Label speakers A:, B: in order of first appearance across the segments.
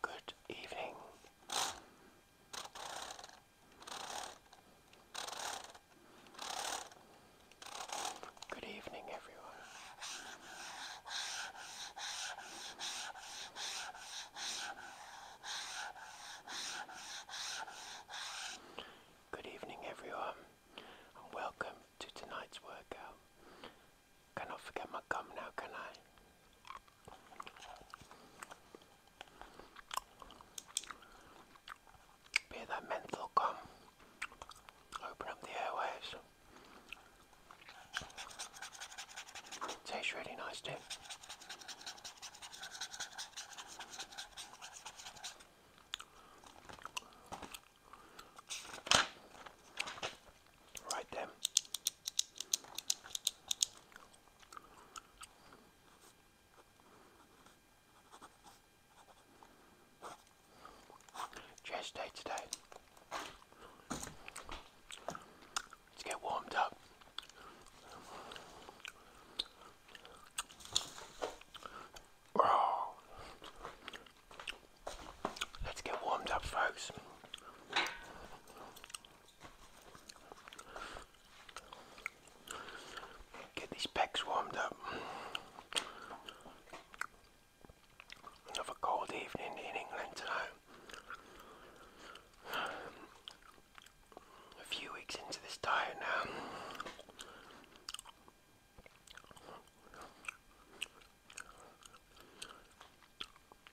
A: Good evening. Good evening, everyone. Good evening everyone and welcome to tonight's workout. Cannot forget my gum now, can I? Be that menthol gum. Open up the airways. Tastes really nice, too. Right then. Chest day today. Let's get warmed up. Let's get warmed up, folks. Get these pecs warmed up. Another cold evening in England tonight a few weeks into this diet now.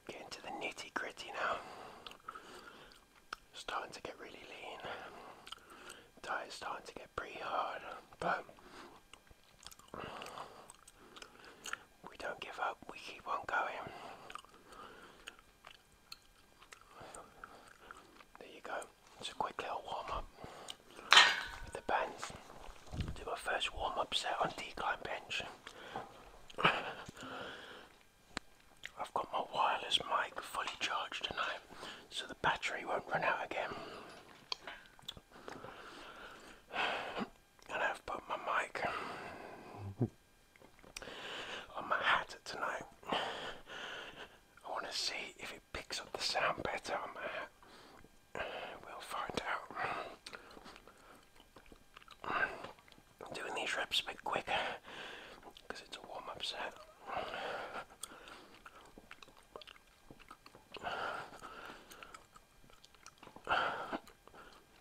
A: Getting to the nitty gritty now. Starting to get really lean. Diet's starting to get pretty hard, but we don't give up, we keep on going. There you go. It's a quick little warm up with the bands. Do my first warm up set on decline bench. I've got my wireless mic fully charged tonight so the battery won't run out again. And I've put my mic on my hat tonight. I want to see if it picks up the sound better on my hat. We'll find out. I'm doing these reps a bit quicker because it's a warm up set.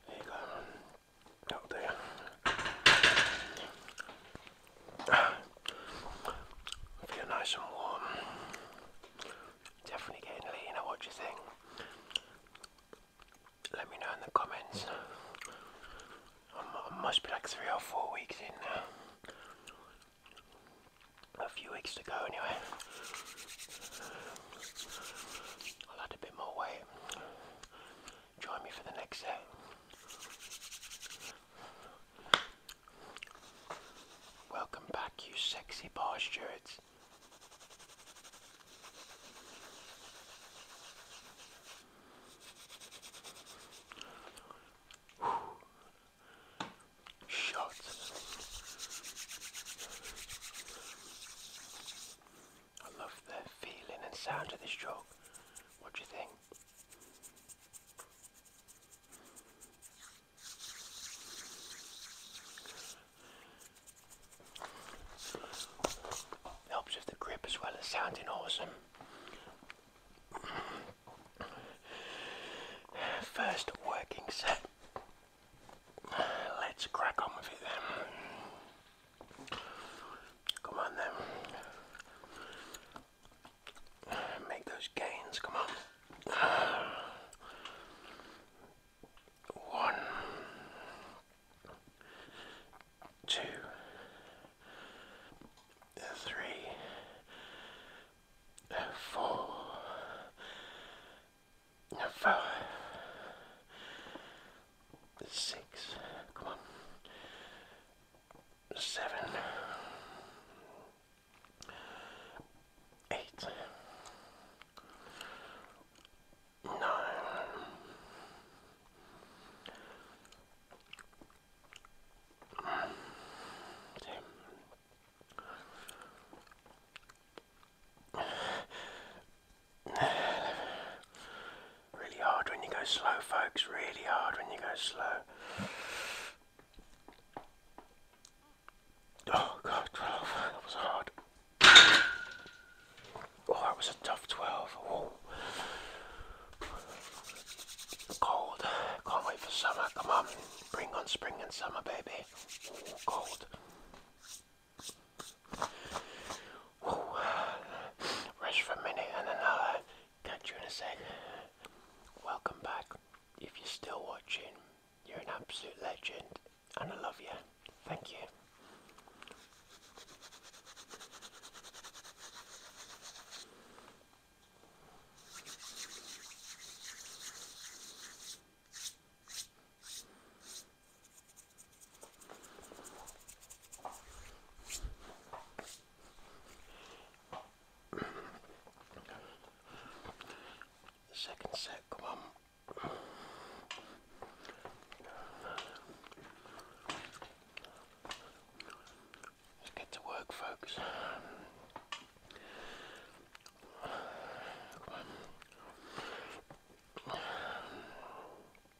A: There you go. Oh, out nice and warm. Definitely getting leaner, what do you think? Let me know in the comments. I must be like three or four weeks in now. A few weeks to go anyway. I'll add a bit more weight join me for the next set. Welcome back, you sexy bar stewards. I love the feeling and sound of this chalk. What do you think? Helps with the grip as well as sounding awesome. First working set. Let's crack on with it then. Come on then. Make those gains, come on. One,
B: two, three, four, five, six, come on, seven, eight, nine,
A: ten, really hard when you go slow, folks. Really hard when you go slow. Oh God, 12. That was hard. Oh, that was a tough 12. Cold. Can't wait for summer. Come on. Bring on spring and summer, baby. cold rest for a minute and then uh, catch you in a sec. Welcome back. If you're still watching, you're an absolute legend and I love you. Thank you
B: second set, come on.
A: Let's get to work, folks. Come on.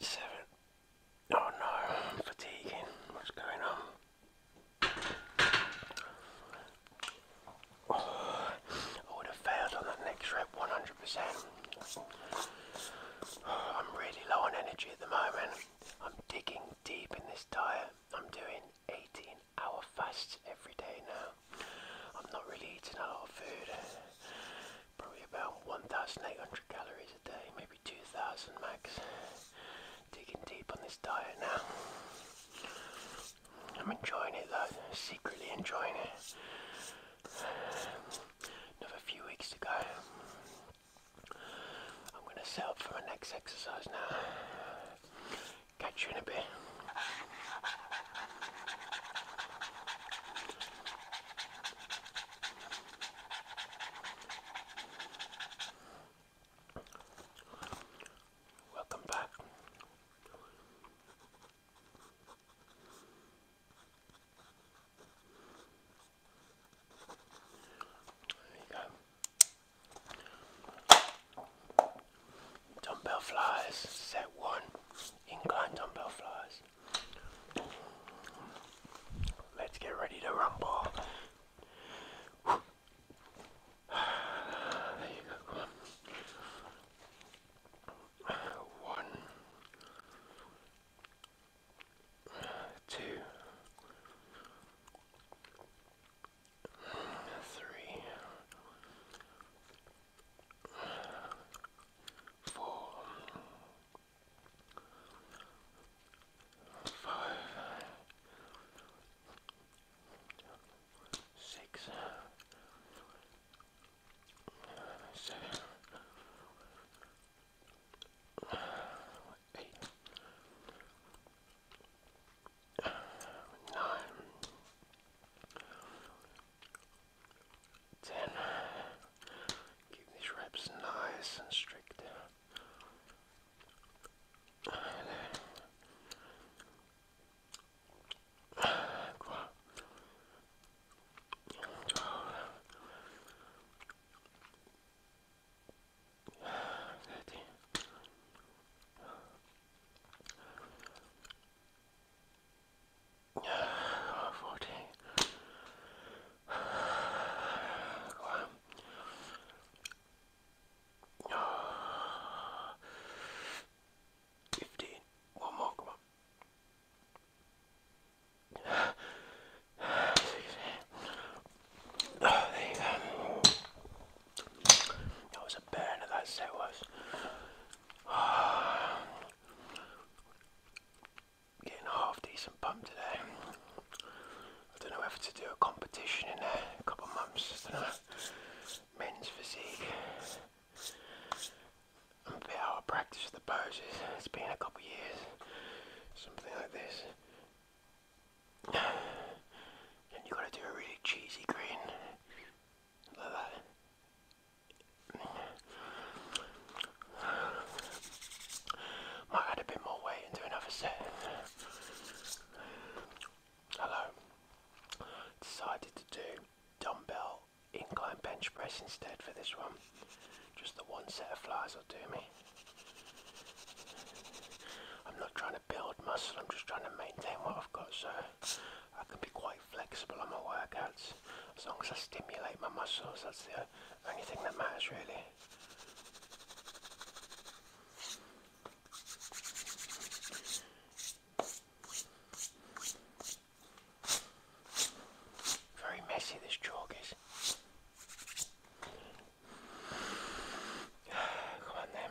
A: Seven. Oh no, I'm fatiguing. What's going on? Oh, I would have failed on that next rep 100%. I'm really low on energy at the moment. I'm digging deep in this diet. I'm doing 18 hour fasts every day now. I'm not really eating a lot of food. Probably about 1,800 calories a day, maybe 2,000 max. Digging deep on this diet now. I'm enjoying it though, secretly enjoying it. Another few weeks to go. I'm going to set up for my next exercise now. Catch you in a bit. Welcome back. There you go dumbbell flies, set one, incline dumbbell flies. Let's get ready to rumble. One, two,
B: three, four, five, six, seven, eight, nine.
A: 10. Keep these reps nice and strict. 12. Thirteen. 14. One. Fifteen. One more, come on. Sixteen. Oh, there you go. That was a burner, that set was. Getting a half decent pump today. I don't know whether to do a competition in a couple of months. I know. Men's physique. I'm a bit practice the poses. It's been a couple years. Something like this. And you gotta do a really cheesy grin. Like that. Might add a bit more weight and do another set. Hello. Decided to do dumbbell incline bench press instead for this one. Just the one set of flies will do me. I'm not trying to build muscle, I'm just trying to maintain what I've got so I can be quite flexible on my workouts. As long as I stimulate my muscles, that's the only thing that matters really. Very messy this chalk is. Come on then.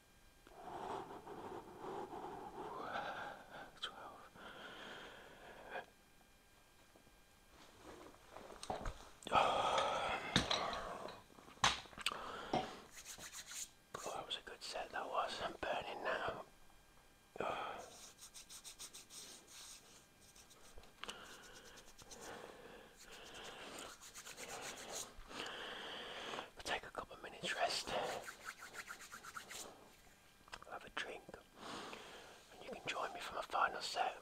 A: 12. Oh, that was a good set, that was. I'm burning now. Oh. We'll take a couple of minutes rest. have a drink. And you can join me for my final set.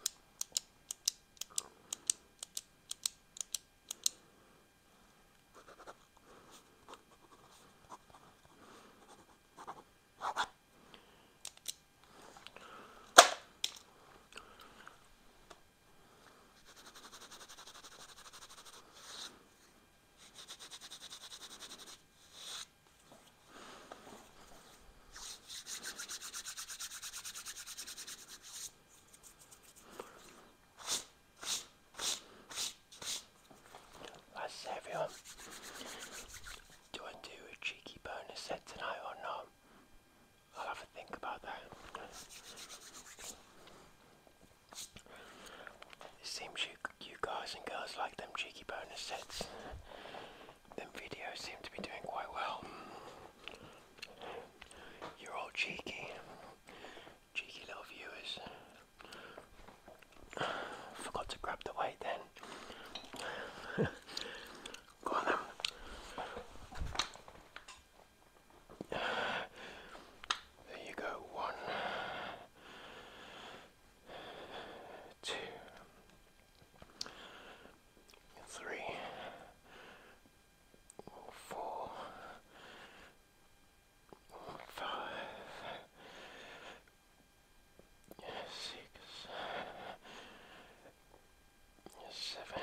A: How's everyone? Do I do a cheeky bonus set tonight or not? I'll have a think about that. It seems you, you guys and girls like them cheeky bonus sets. Them videos seem to be doing quite well. You're all cheeky. Cheeky little viewers. Forgot to grab the weight then. Go on then. There you go. One, two,
B: three, four, five, six, seven.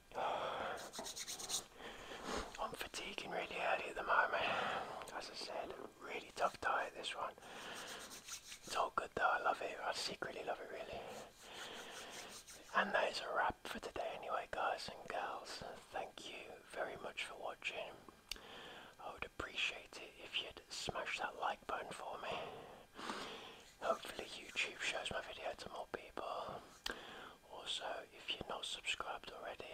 A: I'm fatiguing really early at the moment. As I said, really tough diet this one. It's all good though, I love it. I secretly love it really. And that is a wrap for today anyway guys and girls. Thank you very much for watching. I would appreciate it if you'd smash that like button for me. Hopefully YouTube shows my video to more people. Also, if you're not subscribed already,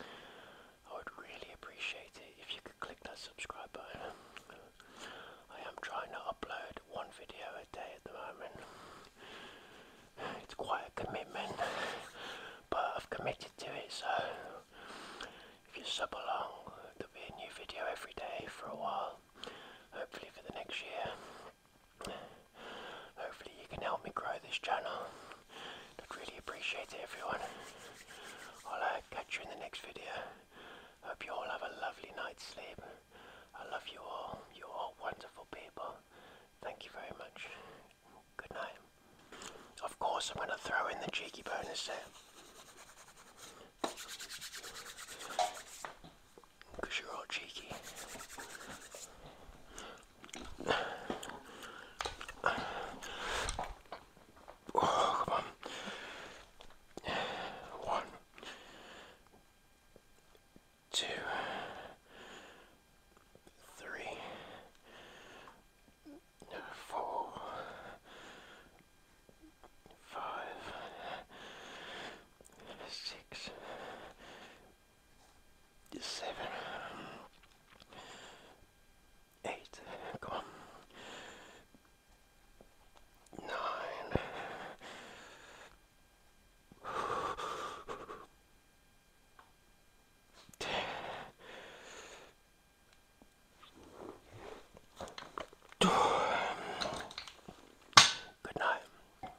A: I would really appreciate it if you could click that subscribe button. I am trying to upload one video a day at the moment. It's quite a commitment, but I've committed to it, so if you sub along, there'll be a new video every day for a while, hopefully for the next year. Hopefully you can help me grow this channel. I'd really appreciate it everyone. I'll uh, catch you in the next video. Hope you all have a lovely night's sleep. I love you all. You're all wonderful people. Thank you very much. Good night. Of course I'm going to throw in the cheeky bonus there because you're all cheeky.
B: Oh, come on. One, two, three, four, five, six seven, eight, come on, nine, ten, two, good night.